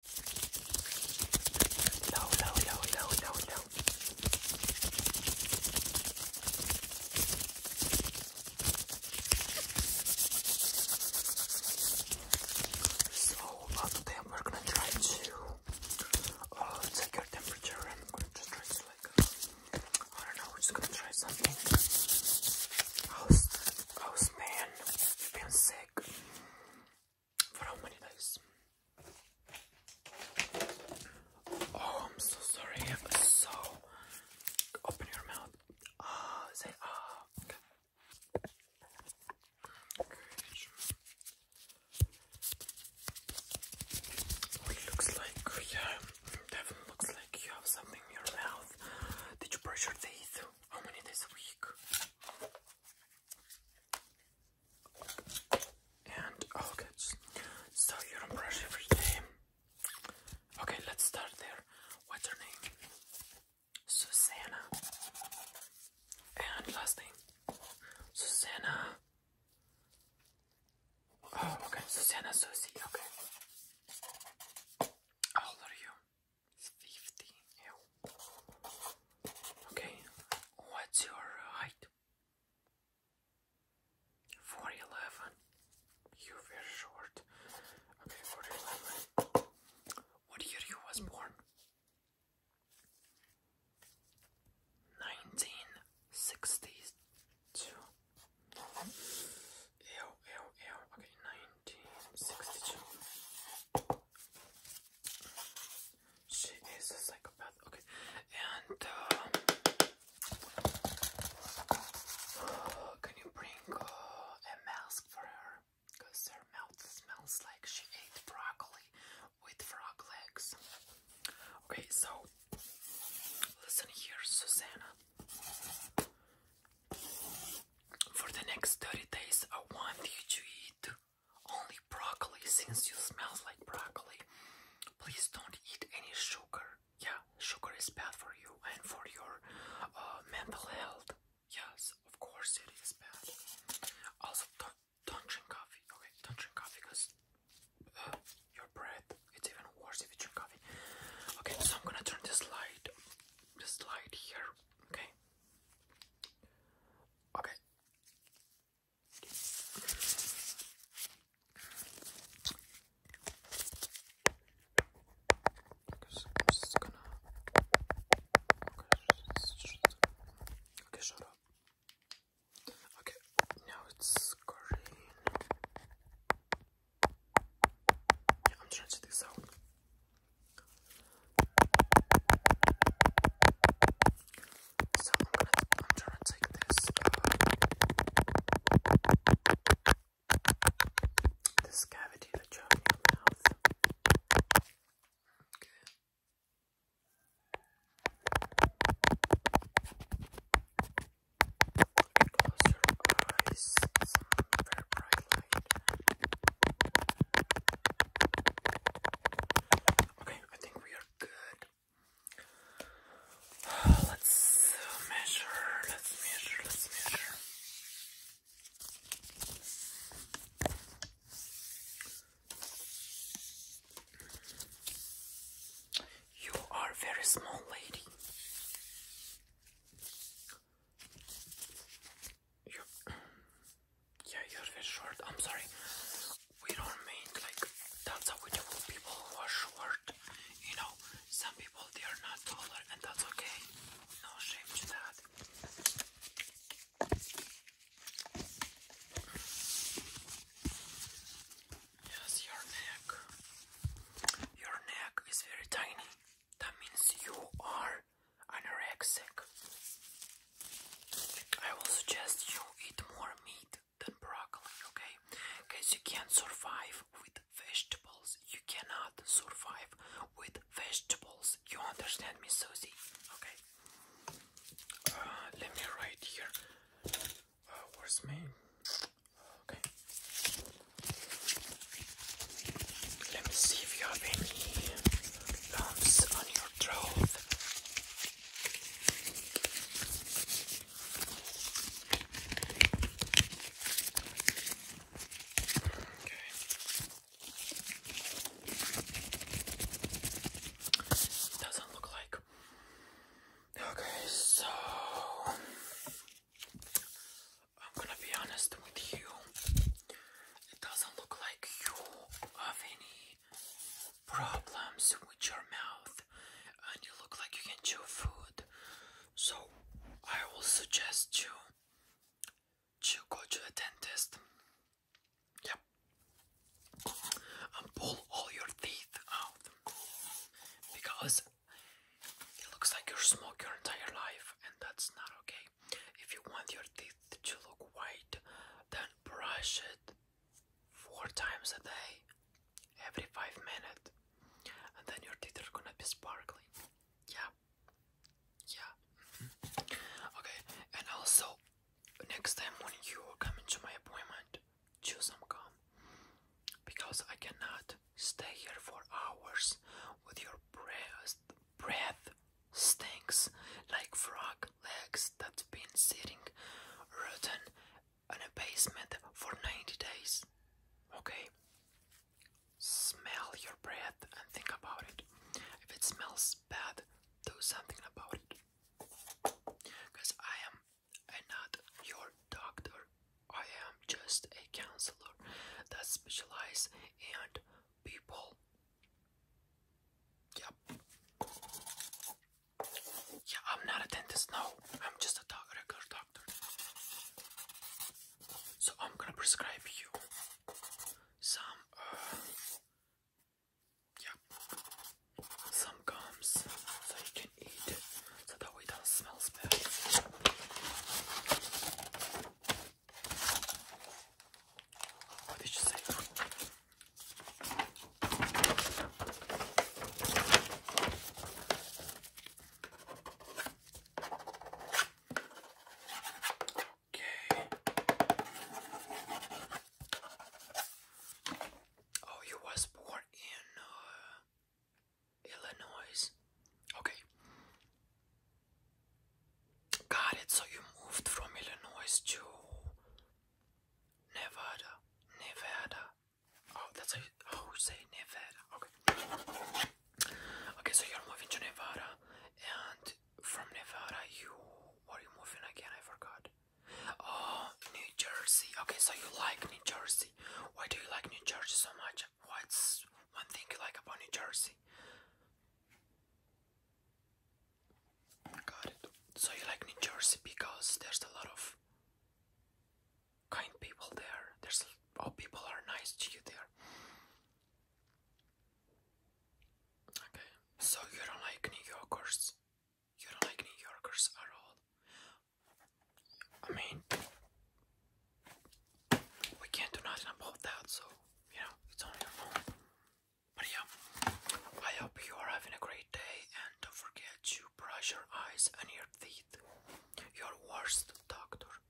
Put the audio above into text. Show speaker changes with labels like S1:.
S1: No, no, no, no, no, no. So uh, we're gonna try to uh, take your temperature I'm gonna just try to like I don't know, we're just gonna try something. How's man? You've been sick for how many days? Oh, I'm so sorry. So, open your mouth. Ah, say ah. okay. it looks like yeah, definitely looks like you have something in your mouth. Did you brush your teeth? How many this week? And oh, okay, so you don't brush Okay, let's start there. What's your name? Susanna. And last name? Susanna. Oh, okay, Susanna Susie, okay. How old are you? Fifty. Okay. What's your height? Four eleven. You're very short. Okay, four eleven. What year you was born? Nineteen sixty two. Ew, ew, ew. Okay, 1962. She is a psychopath. Okay, and uh, can you bring uh, a mask for her? Because her mouth smells like she ate broccoli with frog legs. Okay, so listen here, Susanna. For the next 30 days, I want you to eat only broccoli since you smell like broccoli. Please don't eat any sugar. Yeah, sugar is bad for you and for your uh, mental health. Yes, of course it is bad. Also, don't, don't drink coffee. Okay, don't drink coffee because uh, your breath it's even worse if you drink coffee. Okay, so I'm gonna turn this light, this light here. Okay. Okay. Okay, shut up. Okay, now it's green. I'm trying to do sound. So I'm gonna, I'm take this, uh, this cavity in your mouth. Close your eyes. Okay, I think we are good. Let's measure. Let's measure. Let's measure. You are very small lady. yeah, you're very short. I'm sorry. We don't mean like that's how we do people are short. You know, some people they are not taller, and that's okay. No shame to that. Yes, your neck. Your neck is very tiny. That means you are anorexic. I will suggest you eat more meat than broccoli, okay? Because you can't survive with vegetables. You cannot survive with vegetables. You understand me, Susie? Okay. Uh, let me write here. Uh, where's me? Okay. Let me see if you have any lumps on your throat. Okay. Doesn't look like Okay, so I'm gonna be honest with you. It doesn't look like you have any problems with your mouth, and you look like you can chew food. So I will suggest you to go to a dentist. Yeah. And pull all your teeth out because it looks like you smoked your entire life, and that's not okay. If you want your teeth to look white, then brush it four times a day, every five minutes, and then your teeth are gonna be sparkling. Yeah, yeah. Mm-hmm. Okay, and also next time when you are coming to my appointment, choose some come. Because I cannot stay here for hours with your breath, breath stinks like frog legs that's been sitting rotten in a basement for 90 days. Okay? Smell your breath and think about it. If it smells bad, do something about it. Because I am I'm not your doctor. I am just a counselor that specializes in people. Yep. Yeah, I'm not a dentist. No, I'm just a doc regular doctor. So I'm gonna prescribe you some uh, yeah. Some gums so you can eat it so that way it doesn't smell bad. What did you say? Okay. Oh, you was born in uh, Illinois. Okay. Got it. So you moved from Illinois to Nevada. Nevada. Oh, that's oh, how you, say Nevada. Okay. Okay, so you're moving to Nevada and from Nevada, you are you moving again? I forgot. Oh, New Jersey. Okay, so you like New Jersey. Why do you like New Jersey so much? What's one thing you like about New Jersey? Got it. So you like New Jersey because there's a lot of kind people there. There's all people are nice to you there. Okay, so you don't like New Yorkers? You don't like New Yorkers at all? I mean, we can't do nothing about that, so you know, it's on your own. But yeah, I hope you are having a great day and don't forget to brush your eyes and your teeth. Your worst doctor.